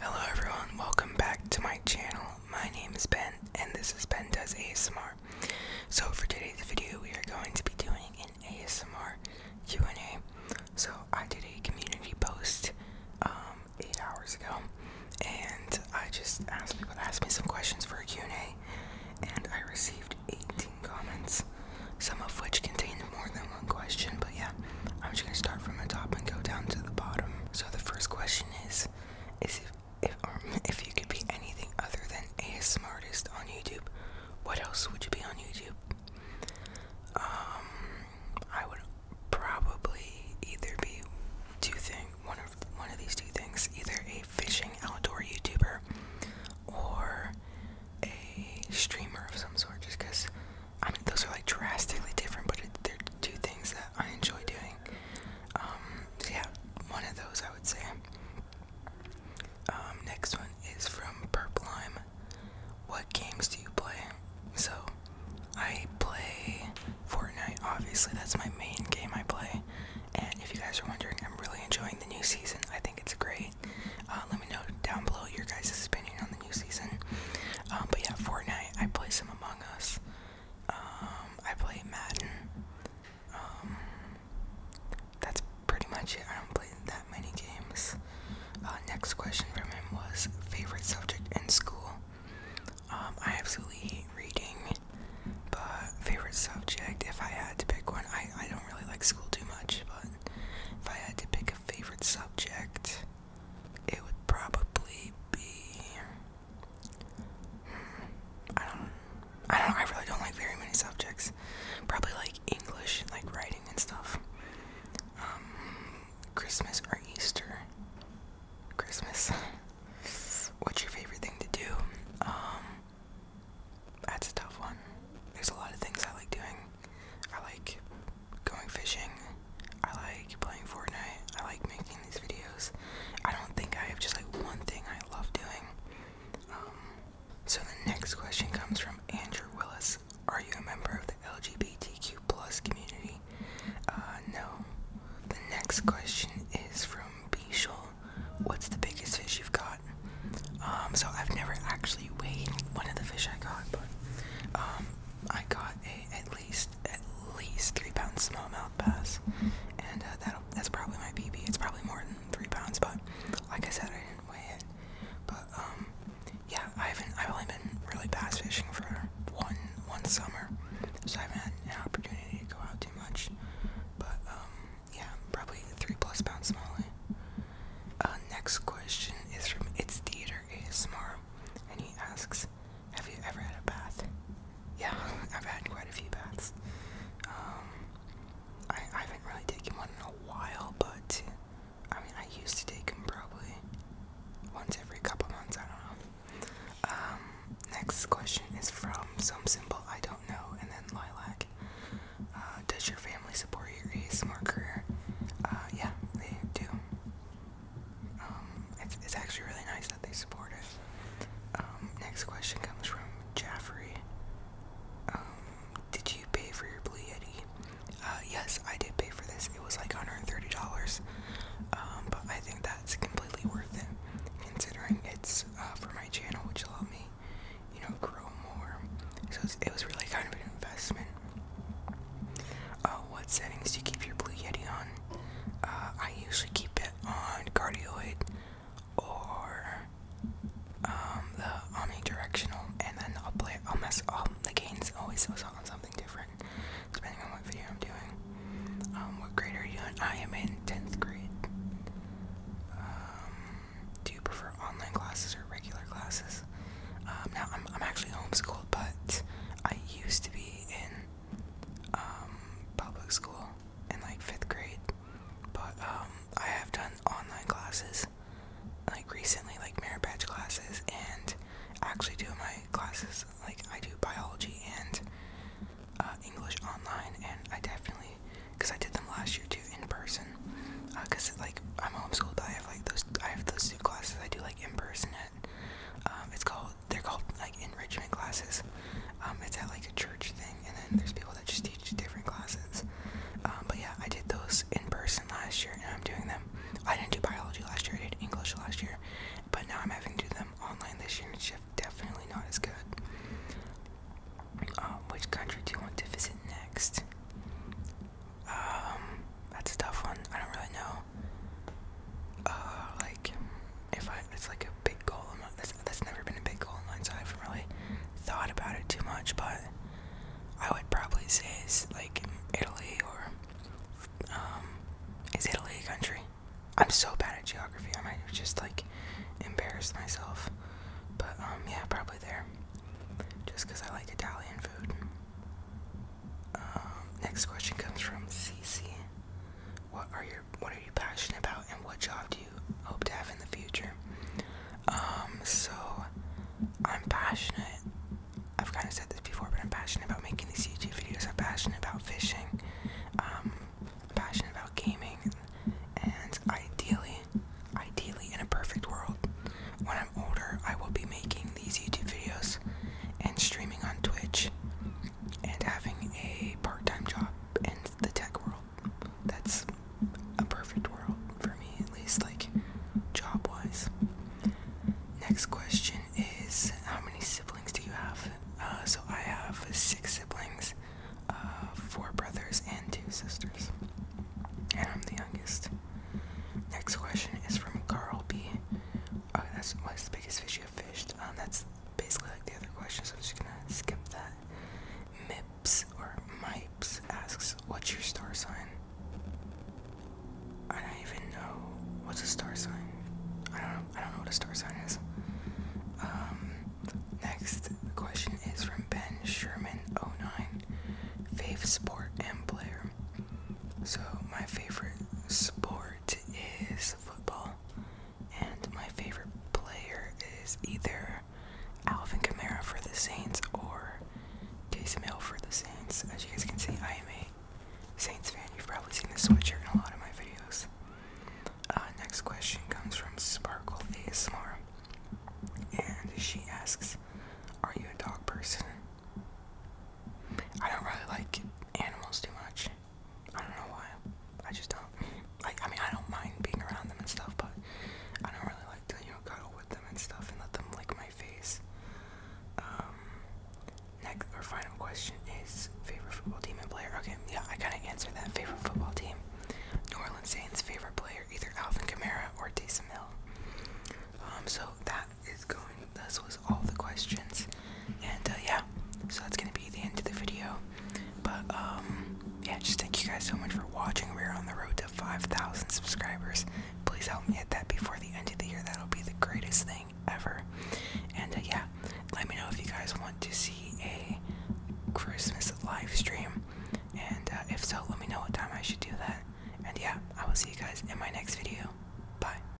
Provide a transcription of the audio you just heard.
Hello everyone, welcome back to my channel. My name is Ben and this is Ben Does ASMR. So for today's video we are going to be doing an ASMR Q&A. So I did a community post um, 8 hours ago and I just asked people to ask me some questions for a Q&A and I received 18 comments, some of which contained more than question, but yeah, I'm just gonna start from the top and go down to the bottom. So the first question is, is if if, um, if you could be anything other than a smartest on YouTube, what else would you be on YouTube? Um, I would probably either be two thing, one of one of these two things, either a fishing outdoor YouTuber or a streamer of some sort, just because I mean, those are like drastically different, but they're two things that I enjoy doing. Um, so yeah, one of those I would say. Um, next one is from Purple Lime. What games do you play? So, I play Fortnite, obviously, that's my main game I play. And if you guys are wondering, I'm really enjoying the new season. I think it's great. Uh, let me know down below your guys' opinion on new season. Um, but yeah, Fortnite. I play Among Us. Um, I play Madden. Um, that's pretty much it. I don't play that many games. Uh, next question from him was favorite subject in school. I absolutely hate reading, but favorite subject. If I had to pick one, I I don't really like school too much, but if I had to pick a favorite subject, it would probably be. I don't. I don't. I really don't like very many subjects. Probably like English, like writing and stuff. Um, Christmas or Easter. Christmas. What's your favorite thing to do? Um, that's a tough one. There's a lot of things I like doing. I like going fishing. I like playing Fortnite. I like making these videos. I don't think I have just like one thing I love doing. Um, so the next question comes from Andrew Willis. Are you a member of the LGBTQ plus community? Uh, no. The next question is from Bishal. What's the biggest fish you've got? Um, so I've never actually weighed one of the fish I got, but um, I got a, at at least three pounds smallmouth bass, and uh, that's probably my PB. It's probably more than three pounds, but like I said, I didn't weigh it. But um, yeah, I haven't. I've only been really bass fishing for one one summer, so I haven't had an opportunity to go out too much. But um, yeah, probably three plus pounds smallie. Uh, next question is from It's Theater ASMR, and he asks, have you ever had a bath? Yeah, I've had quite a few baths. Um, I, haven't really taken one in a while, but I mean, I used to take them probably once every couple months. I don't know. Um, next question is from some symbol I don't know, and then Lilac. Uh, does your family support your ASMR career? Uh, yeah, they do. Um, it's, actually really nice that they support us. Um, next question comes from Jaffrey. Um, did you pay for your Blue Yeti? Uh, yes, I did pay for this. It was like $130. but I think that's completely worth it, considering it's uh, for my channel, which will allowed me, you know, grow more. So it was really kind of an investment. Uh, what settings do you keep your Blue Yeti on? Uh, I usually keep it on cardioid or um, the omnidirectional, and then I'll play. I'll mess. i the gains always goes on something different depending on what video I'm doing. Um, what grade are you in? I am in tenth grade. Um, do you prefer online classes or regular classes? Um, now I'm, I'm actually homeschooled, but I used to be in um, public school in like fifth grade, but um, I have done online classes like recently, like merit badge classes, and actually do my classes like I do biology and uh, English online, and I definitely because I did them last year too in person, because uh, like I'm homeschooled, I have like those I have those two classes I do like in person um, it's called they're called like enrichment classes. Um, it's at like a church thing, and then there's people that just teach different classes. Um, but yeah, I did those in person last year, and I'm doing them. I didn't do biology last year. I did English last year, but now I'm having to do them online this year. and It's definitely not as good. which country do you want to visit next? that's a tough one. I don't really know uh, like if I it's like a big goal. that's that's never been a big goal of mine, so I haven't really thought about it too much. But I would probably say it's like Italy or um, is Italy a country? I'm so bad at geography. I might just like embarrassed myself. But um, yeah, probably there. Just because I like Italian food. Um, next question comes from Cece. What are your What are you passionate about, and what job do you hope to have in the future? Um, so I'm passionate. I've kind of said this before, but I'm passionate about making these YouTube videos. I'm passionate about fishing. I'm um, passionate about gaming, and ideally, ideally, in a perfect world, when I'm older, I will be making these YouTube videos and streaming on Twitch and having a part time job in the tech world. That's a perfect world for me, at least, like job wise. Next question is How many siblings do you have? Uh, so I have six siblings, uh, four brothers, and two sisters. And I'm the youngest. Next question is from Carl B. Oh, that's what's the biggest fish you have fished? Um, that's basically like the other question, so I'm just gonna skip that. Mips or Mipes asks, What's your star sign? I don't even know what's a star sign. I don't know. I don't know what a star sign is. Um, next question is from Ben Sherman09. Fave sport and player. So my favorite sport sport is football, and my favorite player is either Alvin Kamara for the Saints or Taysom Hill for the Saints. As you guys can see, I am a Saints fan. You've probably seen this sweatshirt in a lot of my videos. Uh, next question comes from Sparkle ASMR, and she asks, "Are you a dog person?" I don't really like animals too much. I don't know why. I just don't. Like, I mean, I don't mind being around them and stuff, but I don't really like to, you cuddle with them and stuff and let them lick my face. Um, next, our final question is favorite football team and player. Okay, yeah, I kind of answered that. Favorite football team. New Orleans Saints favorite player, either Alvin Kamara or Taysom Hill. Um, so that that is going. This was all the questions, and uh, yeah, so that's gonna be the end of the video. But um, yeah, just thank you guys so much for watching. We're on the road to 5,000 subscribers. Please help me hit that before the end of the year. That'll be the greatest thing ever. And uh, yeah, let me know if you guys want to see a Christmas live stream. And uh, if so, let me know what time I should do that. And yeah, I will see you guys in my next video. Bye.